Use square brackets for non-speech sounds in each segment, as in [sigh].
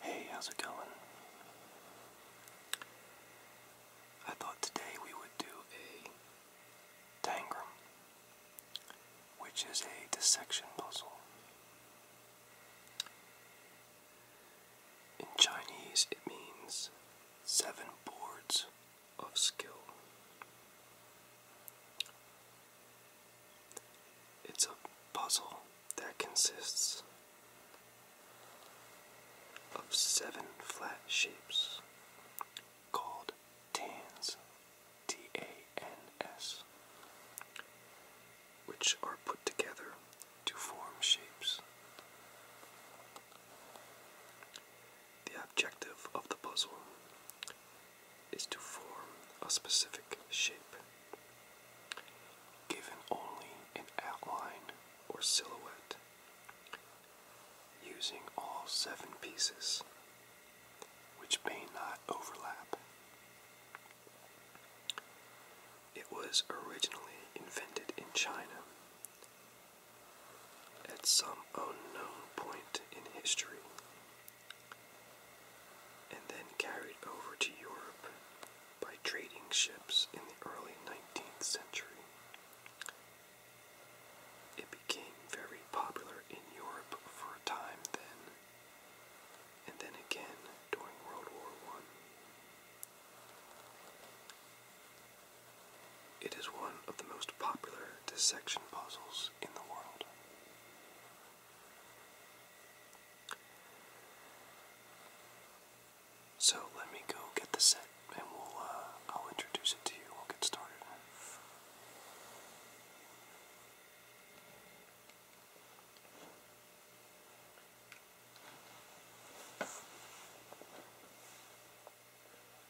Hey, how's it going? I thought today we would do a tangram, which is a dissection puzzle. In Chinese, it means seven boards of skill. It's a puzzle that consists of seven flat shapes called tans, T A N S, which are put together to form shapes. The objective of the puzzle is to form a specific shape, given only an outline or silhouette, using all seven pieces, which may not overlap. It was originally invented in China at some unknown point in history and then carried over to Europe by trading ships in the early 19th century. It became very popular in Europe for a time then, and then again during World War One. It is one of the most popular dissection puzzles in the world. So let me go get the set and we'll uh, I'll introduce it to you. We'll get started.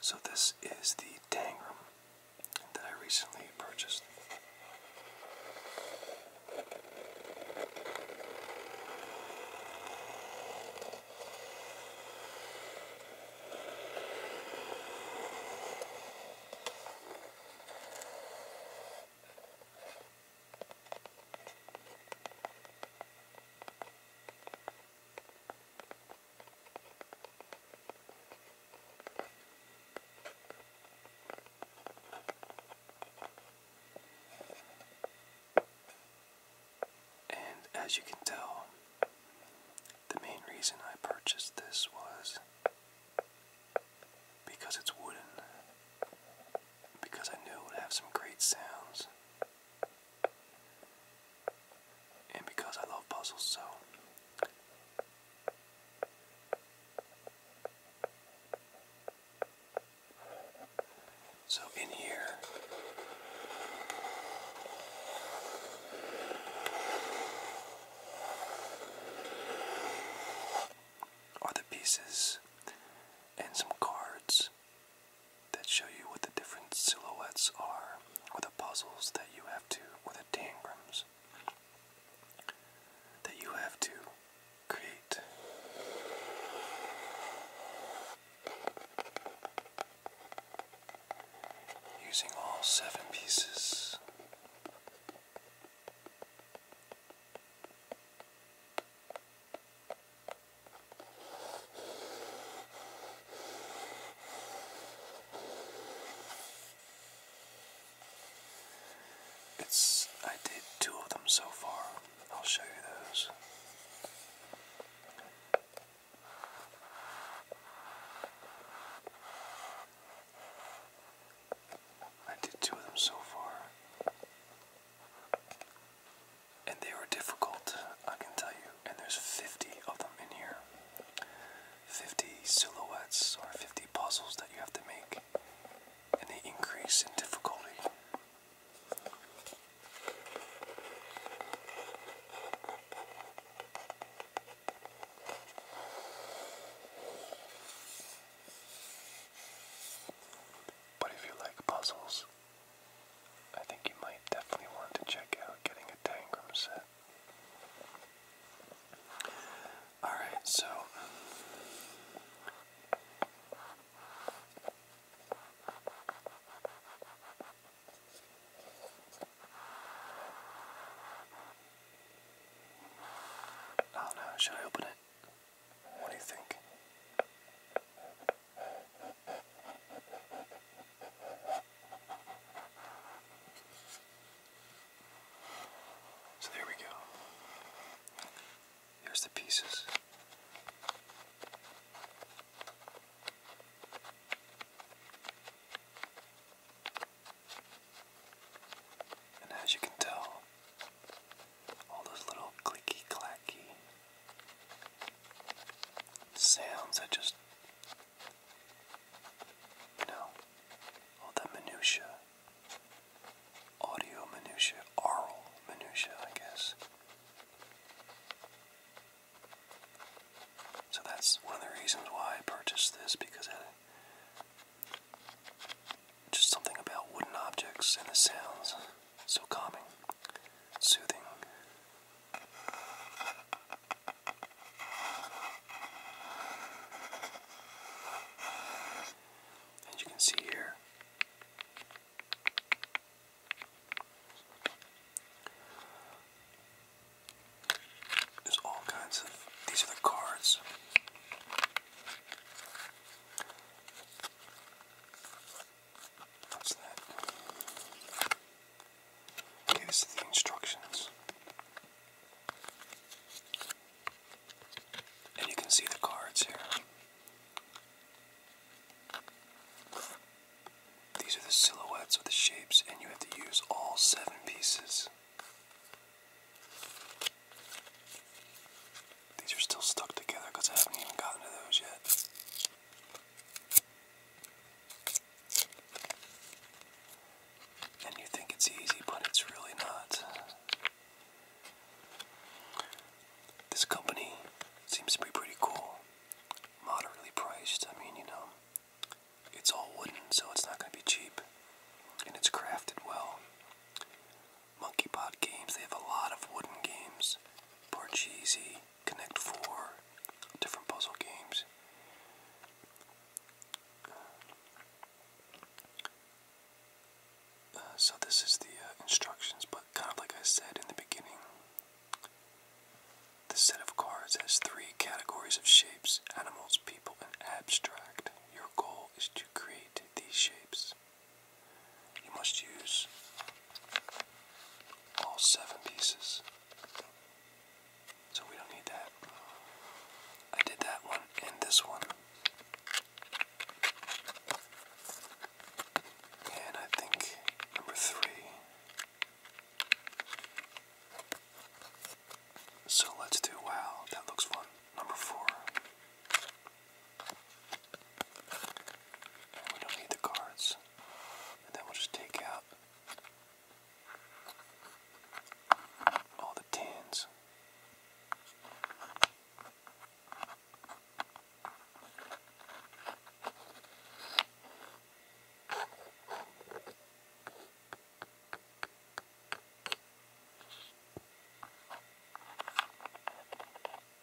So this is the Tangram that I recently purchased. And as you can tell, the main reason I purchased this was because it's wooden, because I knew it would have some great sounds, and because I love puzzles so so in here are the pieces and some cards that show you what the different silhouettes are, or the puzzles that you have to, or the tangrams that you have to create. Using all seven pieces. It's, I did two of them so far. I'll show you those. I did two of them so far and they are difficult, I can tell you. And there's 50 of them in here 50 silhouettes or 50 puzzles that you have to make, and they increase in difficulty. But if you like puzzles, I think you might definitely want to check out getting a Tangram set. Alright, so. I do should I open it? What do you think? So there we go. Here's the pieces. And as you can tell, all those little clicky clacky sounds that just, you know, all that minutia, audio minutia, oral minutia, I guess. So that's one of the reasons why I purchased this because it just something about wooden objects and the sounds. So calming, soothing. And you can see here there's all kinds of these are the cards What's that? Okay, the instructions. And you can see the cards here. These are the silhouettes with the shapes, and you have to use all seven pieces. These are still stuck together because I haven't even gotten to those yet. And you think it's easy, but it's really not. This company seems to be pretty cool. Moderately priced. I mean, you know, it's all wooden, so it's not going to be cheap. And it's crafted well. Monkey Pod games. They have a lot of wooden games. Parcheesi, Connect Four, different puzzle games. Uh, so this is the uh, instructions, but kind of like I said in the beginning, this set of cards has three categories of shapes: animals, people, and abstract. Your goal is to create these shapes. You must use all seven pieces. So we don't need that. I did that one and this one. And I think number three. So let's do wow, that looks fun. Number four we don't need the cards. And then we'll just take out all the tens.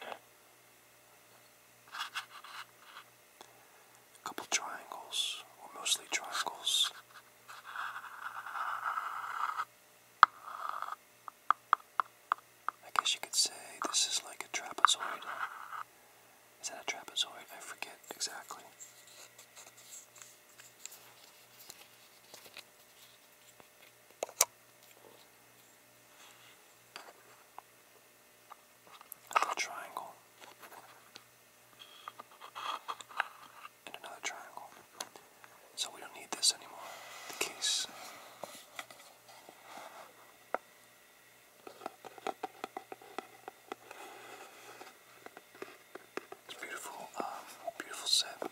A couple triangles, or mostly triangles. I guess you could say this is like a trapezoid. Is that a trapezoid? I forget exactly triangle. And another triangle. So we don't need this anymore. The case. It's beautiful, um, beautiful set.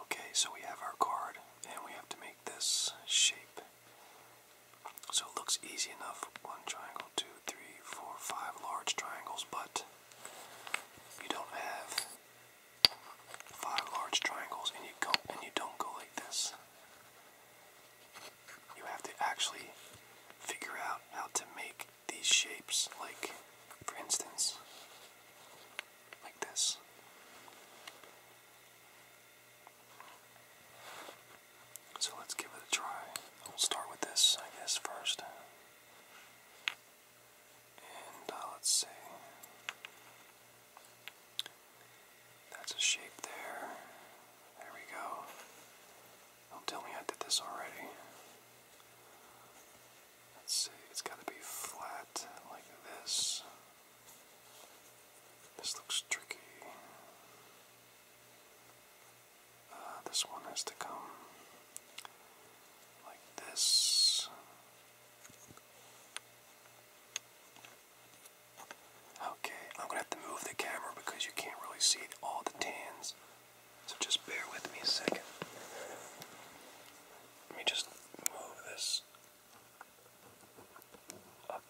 Okay, so we have our card, and we have to make this shape. So it looks easy enough. One triangle, two, three, four, five large triangles, but you don't have five large triangles and you go and you don't go like this. You have to actually figure out how to make these shapes like for instance like this. So let's give it a try. We'll start with this, I guess, first. And uh, let's see. That's a shape there. There we go. Don't tell me I did this already. Let's see, it's got to be flat like this. This looks tricky. Uh, this one has to come like this. Okay, I'm gonna have to move the camera because you can't really see all the tans. So just bear with me a second. Let me just move this up.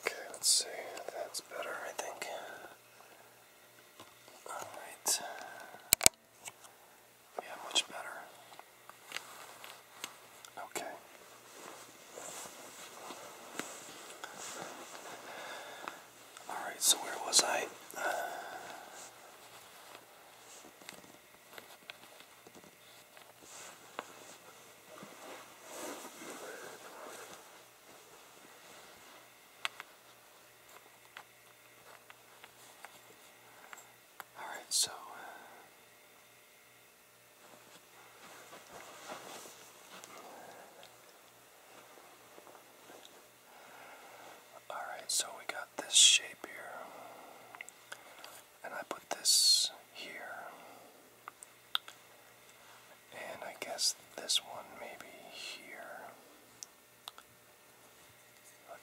Okay, let's see. That's better, I think. Alright. Yeah, much better. Okay. Alright, so where was I? All right, so uh, all right, so we got this shape here, and I put this here, and I guess this one maybe here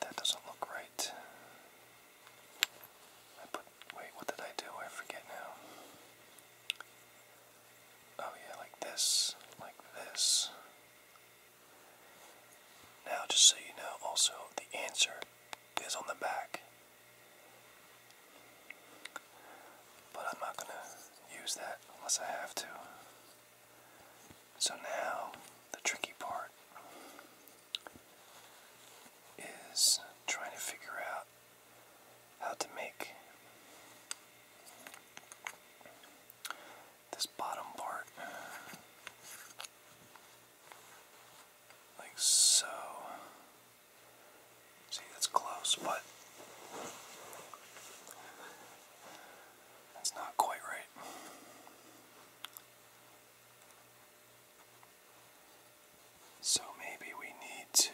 that doesn't look right. I put. Wait, what did I do? I forget now. Oh, yeah, like this. Like this. Now, just so you know, also, the answer is on the back. But I'm not gonna use that unless I have to. So now the tricky part is trying to figure out how to make this bottom part like so. See, that's close, but that's not quite right. So maybe we need to.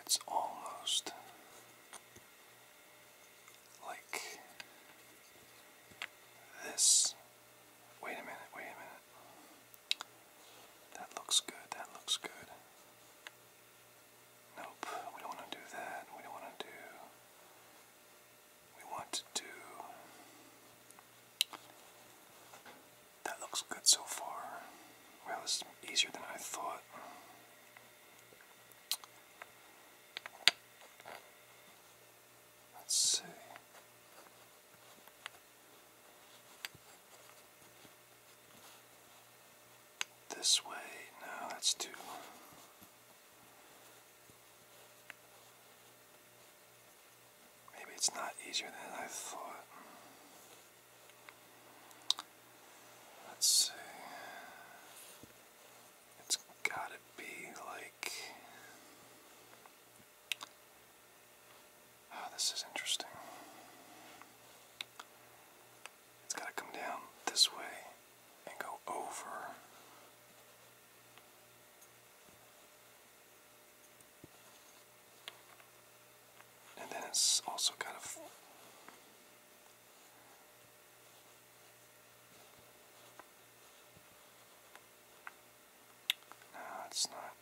It's almost like this Wait a minute, wait a minute. That looks good, that looks good. Nope, we don't want to do that. We don't want to do. We want to do. That looks good so far. Well, it's easier than I thought. Let's see. This way. No, that's too. Maybe it's not easier than I thought. Let's see. It's gotta be like. Oh, this is interesting. It's gotta come down this way and go over. And then it's also kind of no, it's not.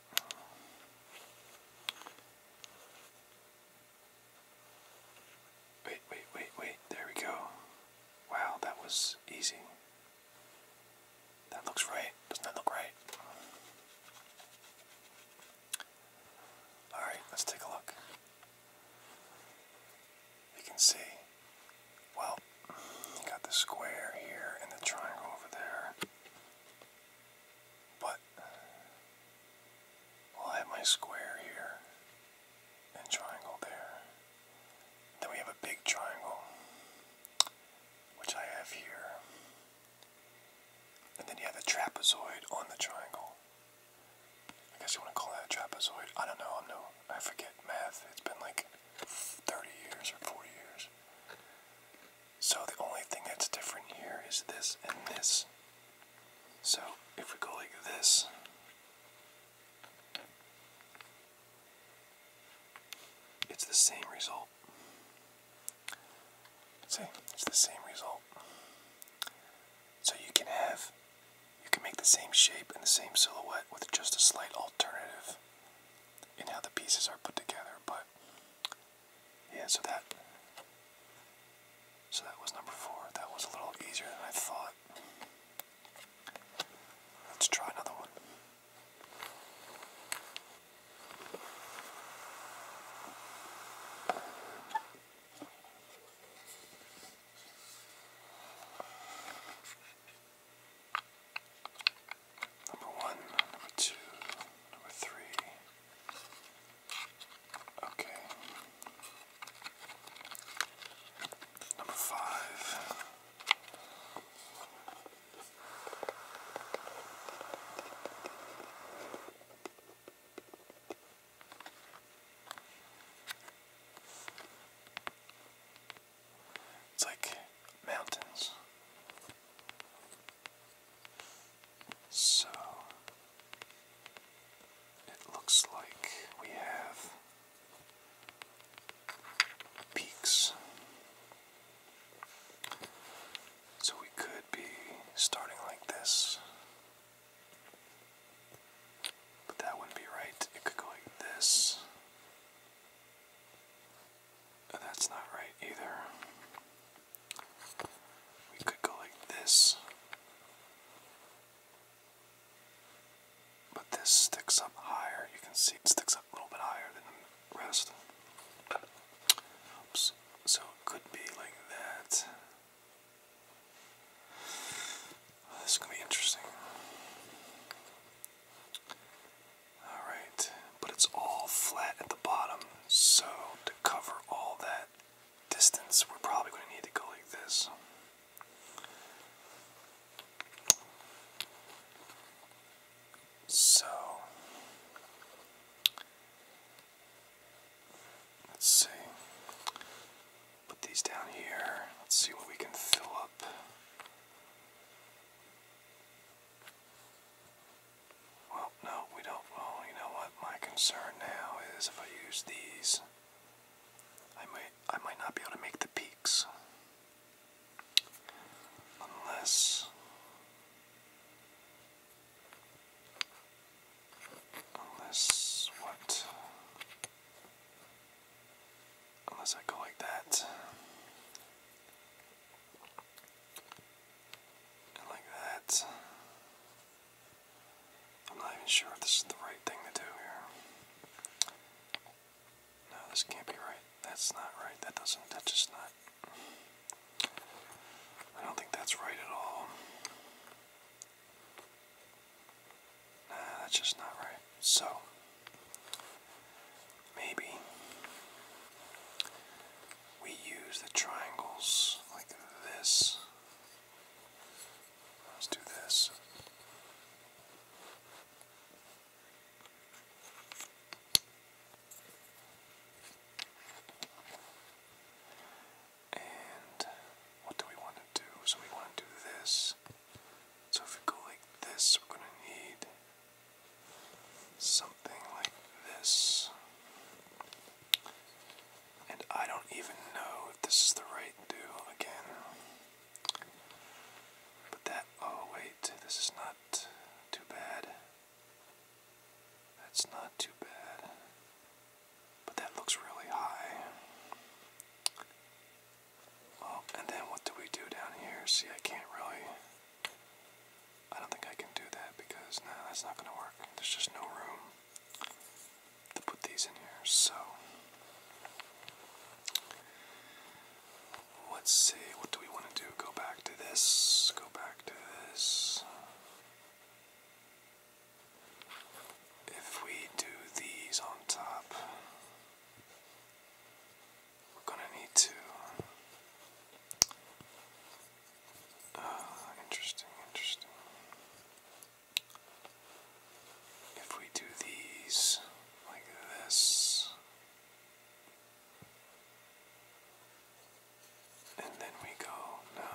Wait, wait, wait, wait. There we go. Wow, that was easy. That looks right. Doesn't that look right? Alright, let's take a look you can see, well, you got the square here and the triangle over there. But, well, I have my square here and triangle there. Then we have a big triangle, which I have here. And then you have a trapezoid on the triangle. I guess you want to call that a trapezoid. I don't know. I'm no I forget math. It's been like 30 years or 40 years. So the only thing that's different here is this and this. So if we go like this, it's the same result. See, it's the same result. So you can have you can make the same shape and the same silhouette with just a slight alternative in how the pieces are put together, but yeah, so that so that was number four. That was a little easier than I thought. Let's try another one. Number one, number two, number three. Okay. Number five. It's like mountains. So it looks like we have peaks. So we could be starting like this but that wouldn't be right. It could go like this. And that's not right either. We could go like this. But this sticks up higher. You can see it sticks up a little bit higher than the rest. Oops. So it could be like that. This is gonna be interesting. Alright, but it's all flat at the bottom, so to cover all that distance, we're probably gonna need to go like this. So, let's see. Put these down here. Let's see what we can fill up. Well, no, we don't. Well, you know what? My concern now is if I use these, I might, I might not be able to make the peaks. Unless, unless what? Unless I go like that. like that. I'm not even sure if this is the right thing to do here. No, this can't be right. That's not right. That doesn't, that's just not. I don't think that's right at all. Nah, that's just not right. So, maybe we use the triangles like this. Let's do this. And uh, what do we want to do? So we want to do this. So if we go like this, we're going to need something like this. And I don't even know if this is the right do again. But that, oh wait, this is not too bad. That's not too bad. But that looks really high. Well, and then what do we do down here? See, I can't really. I don't think I can do that because, no, that's not going to work. There's just no room to put these in here. So, let's see. What do we want to do? Go back to this. Go back to this. If we do these on top, we're going to need to. Uh, interesting, interesting. If we do these like this, and then we go, no,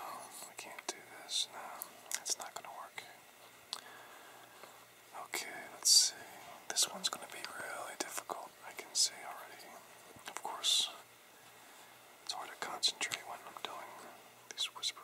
we can't do this, no, it's not going to work. Okay, let's see. This one's going to be really difficult, I can see already. Of course, it's hard to concentrate when I'm doing these whisperings.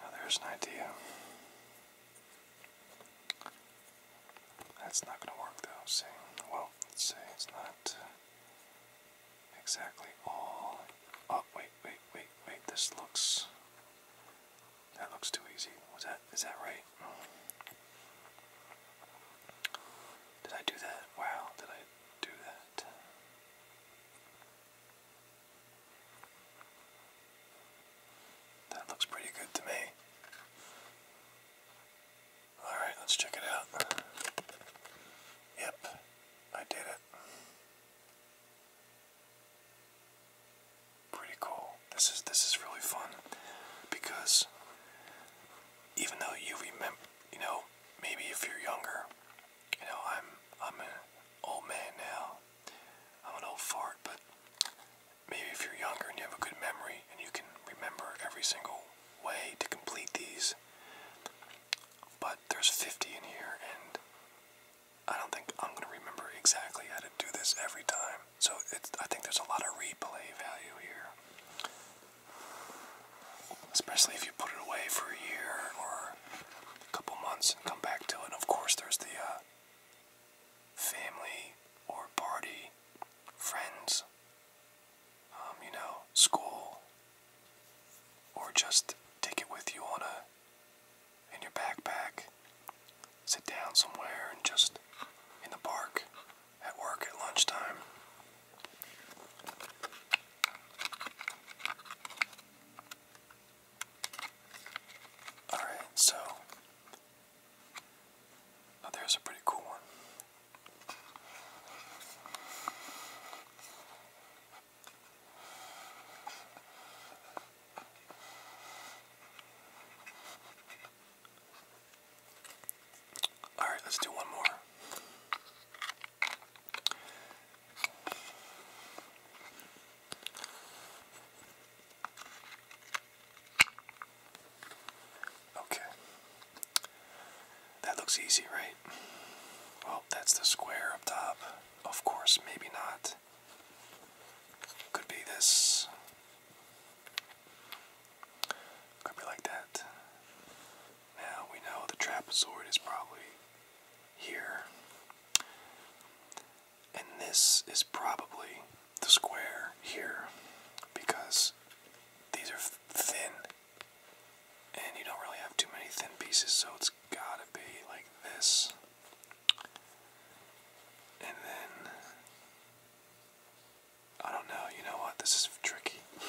Now there's an idea. That's not going to work though, see? Well, let's say it's not uh, exactly all. Oh, wait, wait, wait, wait. This looks. That looks too easy. Was that. Is that right? Did I do that? Wow, did I do that? That looks pretty good to me. Alright, let's check it out. Yep, I did it. Pretty cool. This is this is really fun because even though you remember, you know, maybe if you're younger, you know, I'm I'm an old man now. I'm an old fart, but maybe if you're younger and you have a good memory and you can remember every single way to complete these. But there's 50 in here, and I don't think I'm going to remember exactly how to do this every time. So it's, I think there's a lot of replay value here. Especially if you put it away for a year or a couple months and come back to it. And of course, there's the uh, family or party, friends, um, you know, school, or just take it with you on a in your backpack. Sit down somewhere and just in the park, at work at lunchtime. Alright, so now oh, there's a pretty cool one. All right, let's do one more. Okay. That looks easy, right? Well, that's the square up top. Of course, maybe not. Could be this. Could be like that. Now we know the trapezoid is probably here. And this is probably the square here because these are thin and you don't really have too many thin pieces so it's gotta be like this and then I don't know you know what this is tricky [laughs]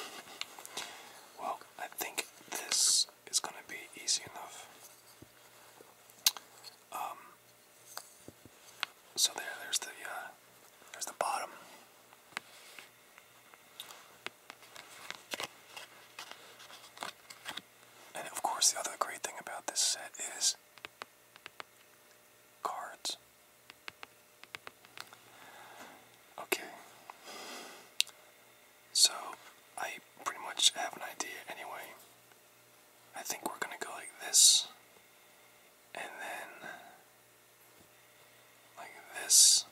well I think this is gonna be easy enough um so there, there's the uh, there's the bottom. And of course, the other great thing about this set is cards. Okay. So, I pretty much have an idea anyway. I think we're gonna go like this and then like this,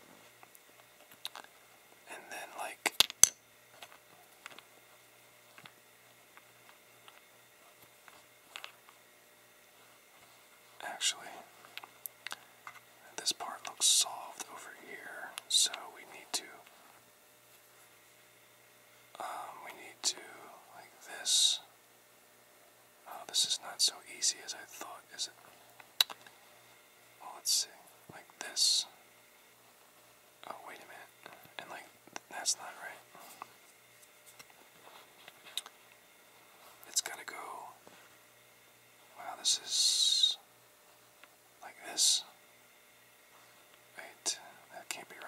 and then like. Actually, this part looks solved over here, so we need to. Um, we need to like this, Oh, this is not so easy as I thought, is it? Well, let's see. Like this. Oh, wait a minute. And like, that's not right. It's gotta go. Wow, this is. like this. Wait, that can't be right.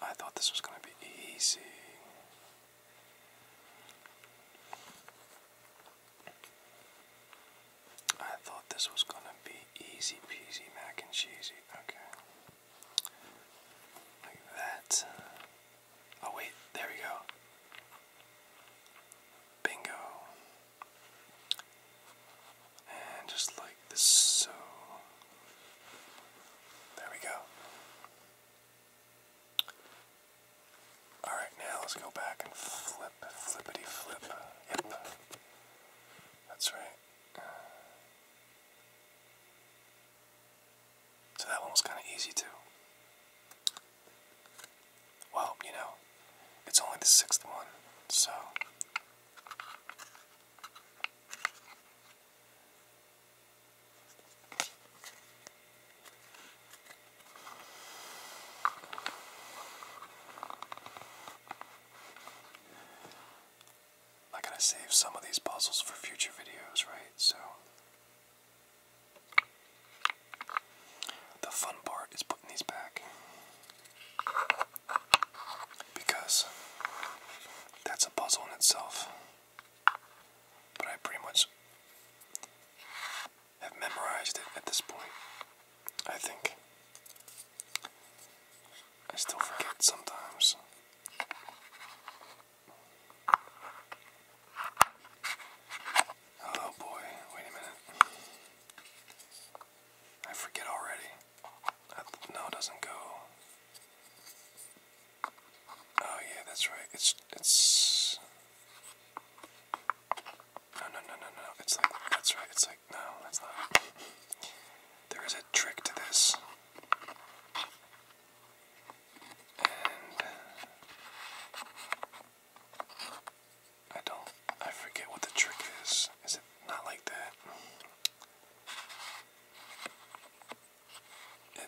I thought this was going to be easy. I thought this was going to be easy peasy mac and cheesy. Okay. Like that. Oh, wait, there we go. Bingo. And just like this, so. There we go. Alright, now let's go back and flip, flippity flip. Yep. That's right. So that one was kind of easy too. Well, you know, it's only the sixth one, so I gotta save some of these puzzles for future videos, right? So, the fun part is putting these back. Because that's a puzzle in itself. But I pretty much have memorized it at this point. I think. I still forget sometimes. Oh boy, wait a minute. I forget already. No, doesn't go. Oh yeah, that's right. It's it's. No, no, no, no, no. It's like that's right. It's like no, that's not. There is a trick to this. I don't. I forget what the trick is. Is it not like that?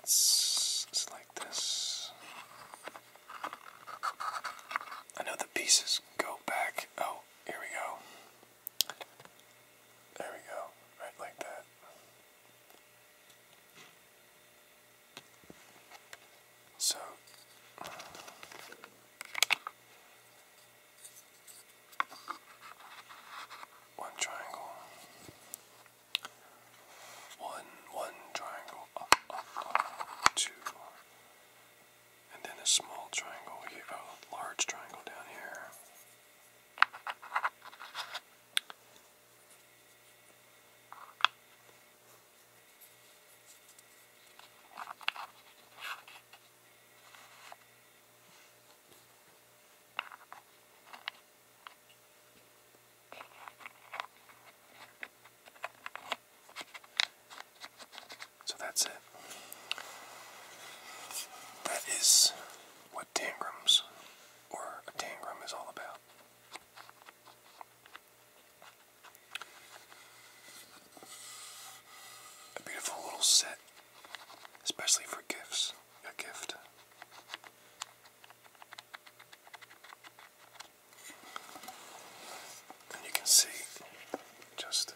It's, like this. I know the pieces go back. Oh, here we go. There we go. Right like that. So one triangle. One, one triangle up, up, up, two. And then a small triangle here, a large triangle down here. So that's it. That is what tangrams or a tangram is all about. A beautiful little set especially for gifts, a gift. And you can see just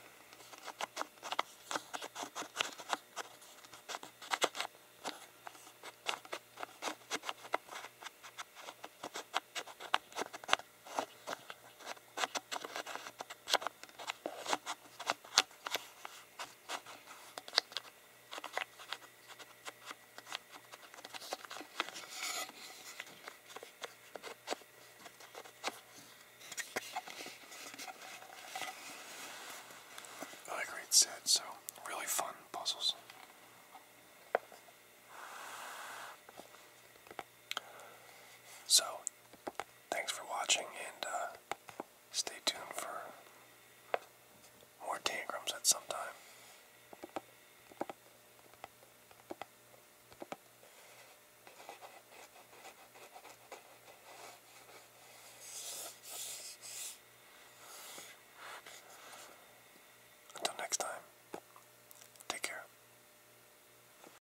like Reed said, so really fun puzzles. So, thanks for watching and uh, stay tuned for more tangrams at some time. Until next time, take care.